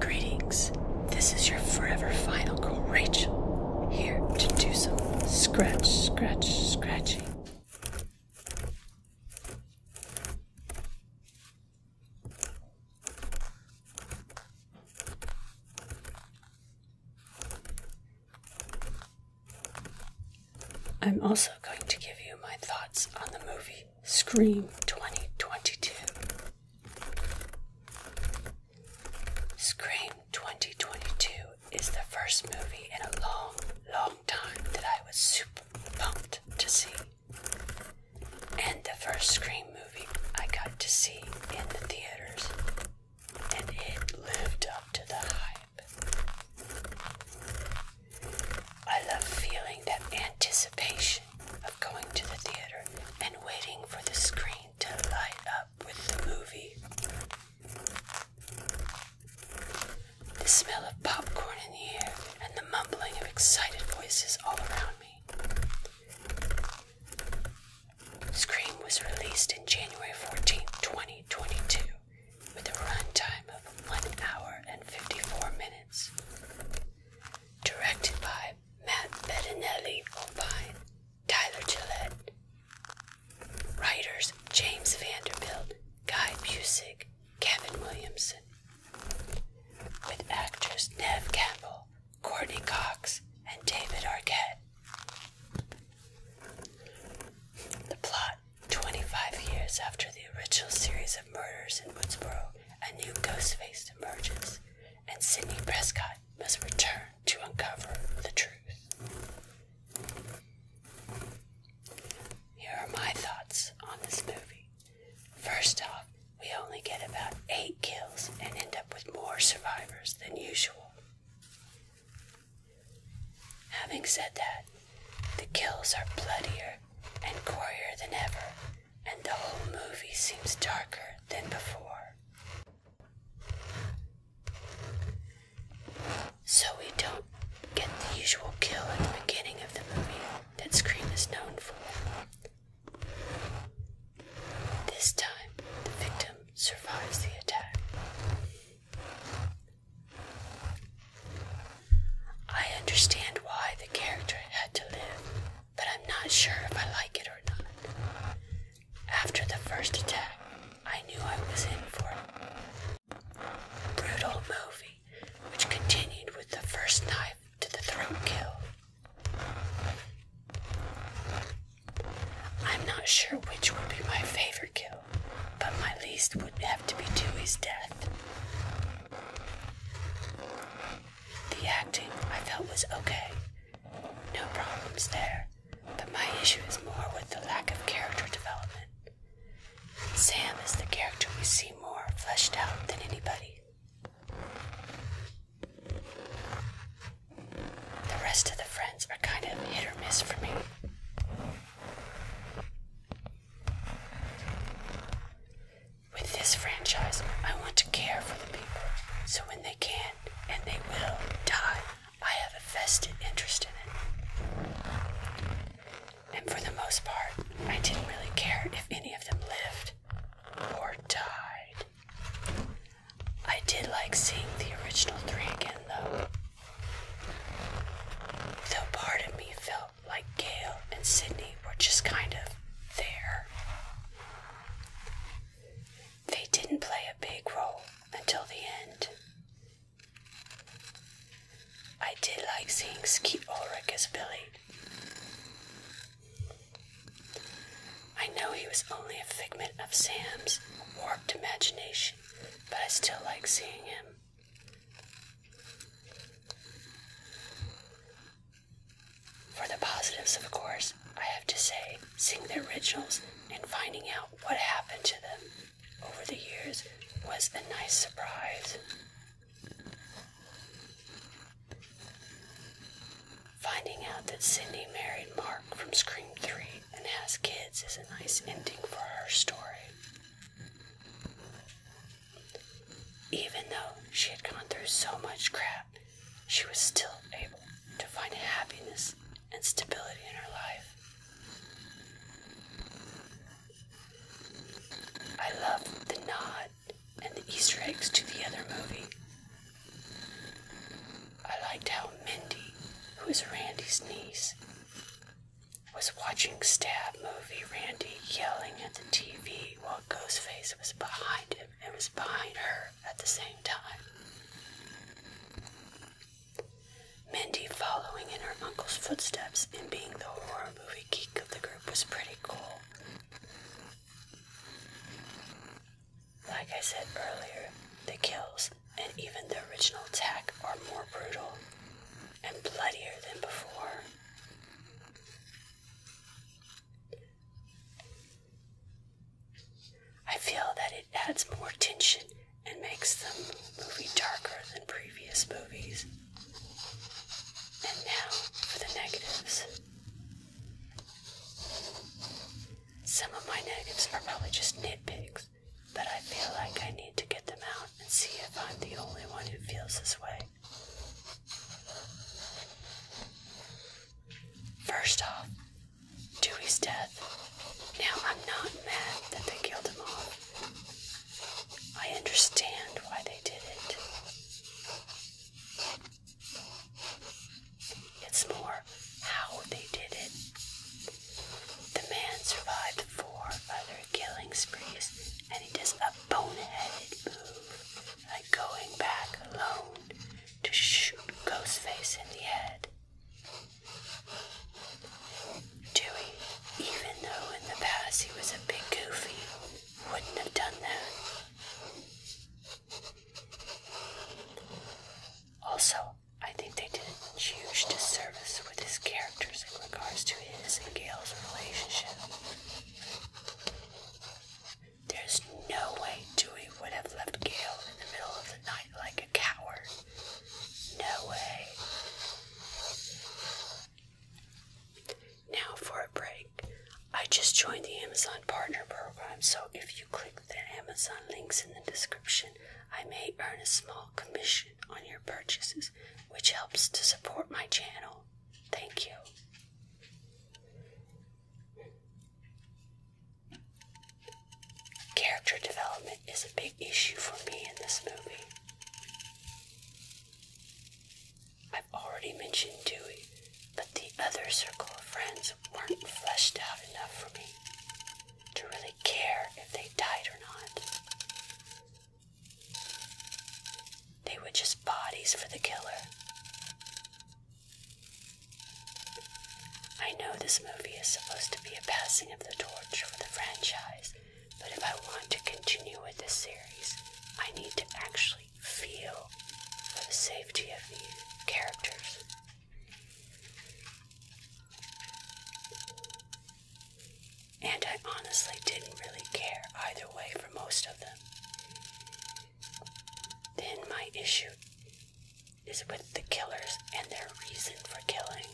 Greetings. This is your forever final girl, Rachel, here to do some scratch, scratch, scratching. I'm also going to give you my thoughts on the movie Scream 2022. Scream 2022 is the first movie in a long, long time that I was super pumped to see. And the first Scream movie I got to see in the theaters. And it lived up to the hype. I love feeling that anticipation of going to the theater and waiting for the screen to light up with the movie. The smell of popcorn in the air and the mumbling of excited voices all around me. Scream was released in January 14, 2022 with a runtime of 1 hour and 54 minutes. Directed by Matt Bettinelli O'Bine, Tyler Gillette. Writers James Vanderbilt, Guy Busick, Kevin Williamson. With actors Nev Campbell, Courtney Cox, and David Arquette. The plot 25 years after the original series of murders in Woodsboro, a new ghost face emerges, and Sidney Prescott must return to uncover the truth. Here are my thoughts on this movie. First off, we only get about eight kills and end up with more survivors than usual. Having said that, the kills are bloodier and gorier than ever, and the whole movie seems darker than before. So we don't get the usual kill at the beginning of the movie that Scream is known for. This time, the victim survives the attack. I understand why the character had to live, but I'm not sure if I like it or not. After the first attack, I knew I was in for a Brutal movie, which continued with the first knife to the throat kill. I'm not sure which will be my favorite kill. But my least would have to be Dewey's death. The acting I felt was okay. No problems there. But my issue is more with the lack of character development. Sam is the character we see more fleshed out than anybody. The rest of the friends are kind of hit or miss for me. With this franchise, I want to care for the people, so when they can, and they will, die, I have a vested interest in it. And for the most part, I didn't really care if any of them lived or died. I did like seeing the original three again, though. Though part of me felt like Gail and Sydney were just kind of there. They didn't play a big role until the end. I did like seeing Skeet Ulrich as Billy. I know he was only a figment of Sam's warped imagination but I still like seeing him. For the positives, of course, I have to say seeing the originals and finding out what happened to them over the years was a nice surprise. Finding out that Cindy married Mark from Scream 3 and has kids is a nice ending for her story. Even though she had gone through so much crap, she was still able to find happiness and stability in her life. I love the nod and the Easter eggs to the other movie. I liked how Mindy, who is Randy's niece, was watching Stab movie, Randy yelling at the TV while Ghostface was behind him and was behind her at the same time. Mindy following in her uncle's footsteps and being the horror movie geek of the group was pretty cool. Like I said earlier, the kills and even the original attack are more brutal and bloodier than before. I feel that it adds more tension and makes the movie darker than previous movies. And now for the negatives. Some of my negatives are probably just nitpicks, but I feel like I need to get them out and see if I'm the only one who feels this way. First off, Dewey's death. Now, I'm not mad that they killed him off. I understand why they did it. It's more how they did it. The man survived four other killing sprees, and he does a boneheaded move, like going back alone to shoot Ghostface in the head. Dewey, even though in the past he was a big goofy, wouldn't have done that. Also, I think they did a huge disservice with his characters in regards to his and Gail's relationship. There's no way Dewey would have left Gail in the middle of the night like a coward. No way. Now for a break. I just joined the Amazon Partner Program, so if you click the Amazon links in the description, I may earn a small commission on your purchases, which helps to support my channel. Thank you. Character development is a big issue for me in this movie. I've already mentioned Dewey, but the other circle of friends weren't fleshed out enough for me to really care if they died or not. They were just bodies for the killer. I know this movie is supposed to be a passing of the torch for the franchise, but if I want to continue with this series, I need to actually feel for the safety of the characters. And I honestly didn't really care either way for most of them. Then my issue is with the killers and their reason for killing.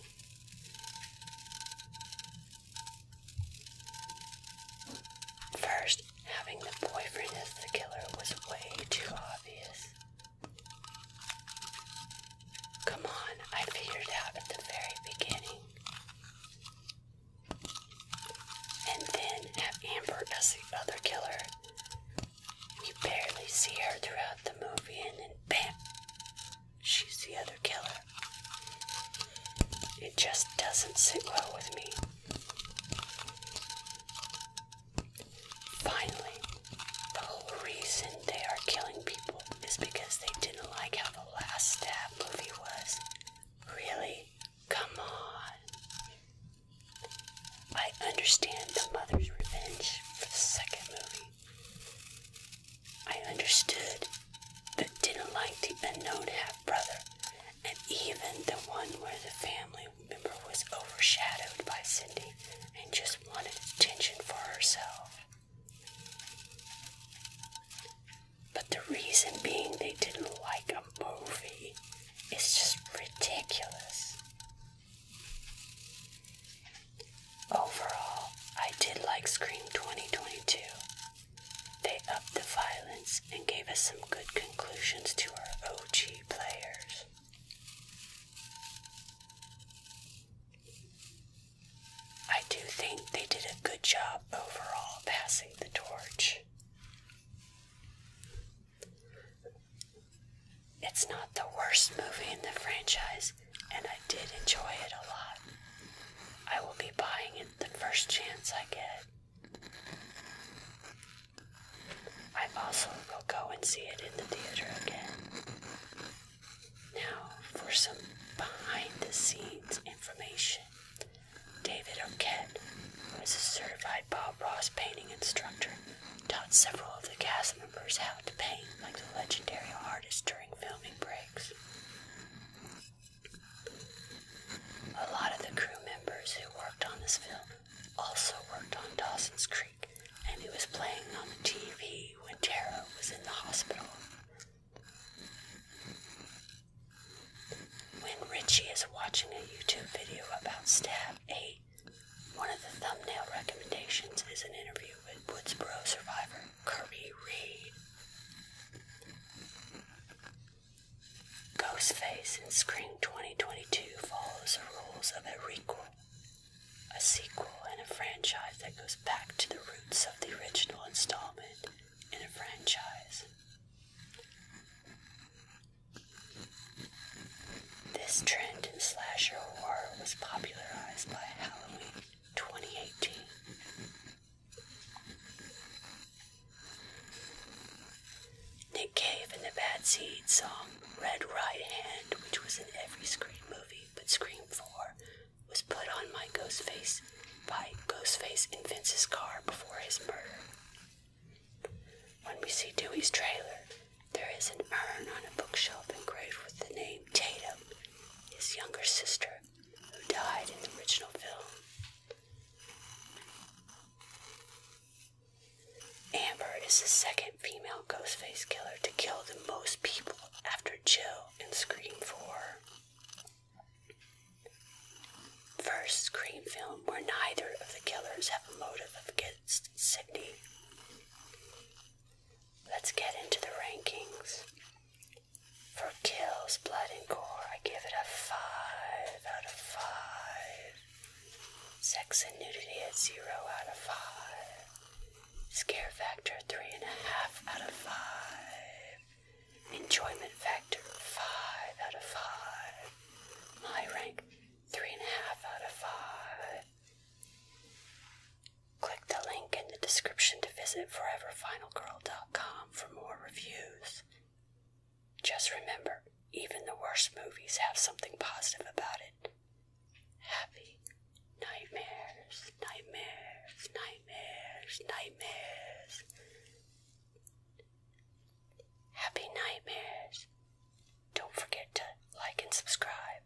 First, Having the boyfriend as the killer was way too obvious. Come on, I figured out at the very beginning. And then have Amber as the other killer. You barely see her throughout the movie, and then bam, she's the other killer. It just doesn't sit well with me. Finally, the whole reason they are killing people is because they didn't like how the last stab movie was. Really? Come on. I understand the mother's revenge for the second movie. I understood, but didn't like the unknown half brother and even the one where the family member was overshadowed by Cindy and just wanted attention for herself. But the reason being they didn't like a movie is just ridiculous. Overall, I did like Scream 2022. They upped the violence and gave us some good conclusions to our OG players. I do think they did a good job overall passing the torch. It's not the worst movie in the franchise, and I did enjoy it a lot. I will be buying it the first chance I get. I also will go and see it in the theater again. Now, for some behind the scenes information David Arquette was a certified Bob Ross painting instructor, taught several of the cast members how to paint like the legendary artist during filming breaks. A lot of the crew members who worked on this film also worked on Dawson's Creek, and he was playing on the TV when Tara was in the hospital. When Richie is watching a YouTube video about Stab 8, one of the thumbnail recommendations is an interview with Woodsboro survivor Curry Reed. Ghostface in Scream 2022 follows the rules of a requel, a sequel, and a franchise that goes back to the roots of the original installment in a franchise. This trend in slasher horror was popularized by Halloween 2018, Nick Cave and the Bad Seed song Red Right Hand, which was in every Scream movie but Scream 4, was put on my Ghostface by Ghostface in Vince's car before his murder. When we see Dewey's trailer, there is an urn on a bookshelf engraved with the name Tatum, his younger sister, who died in the original film. Amber is the second female Ghostface killer to kill the most people after Jill in Scream 4. First Scream film where neither of the killers have a motive against Sydney. Let's get into the rankings. For kills, blood, and gore, I give it a 5 out of 5. Sex and nudity at 0 out of 5. Scare factor 3.5 out of 5. Enjoyment factor 5 out of 5. My rank 3.5 out of 5. Click the link in the description to visit foreverfinalgirl.com for more reviews. Just remember, even the worst movies have something positive about it. Happy nightmares, nightmares, nightmares, nightmares. Happy nightmares. Don't forget to like and subscribe.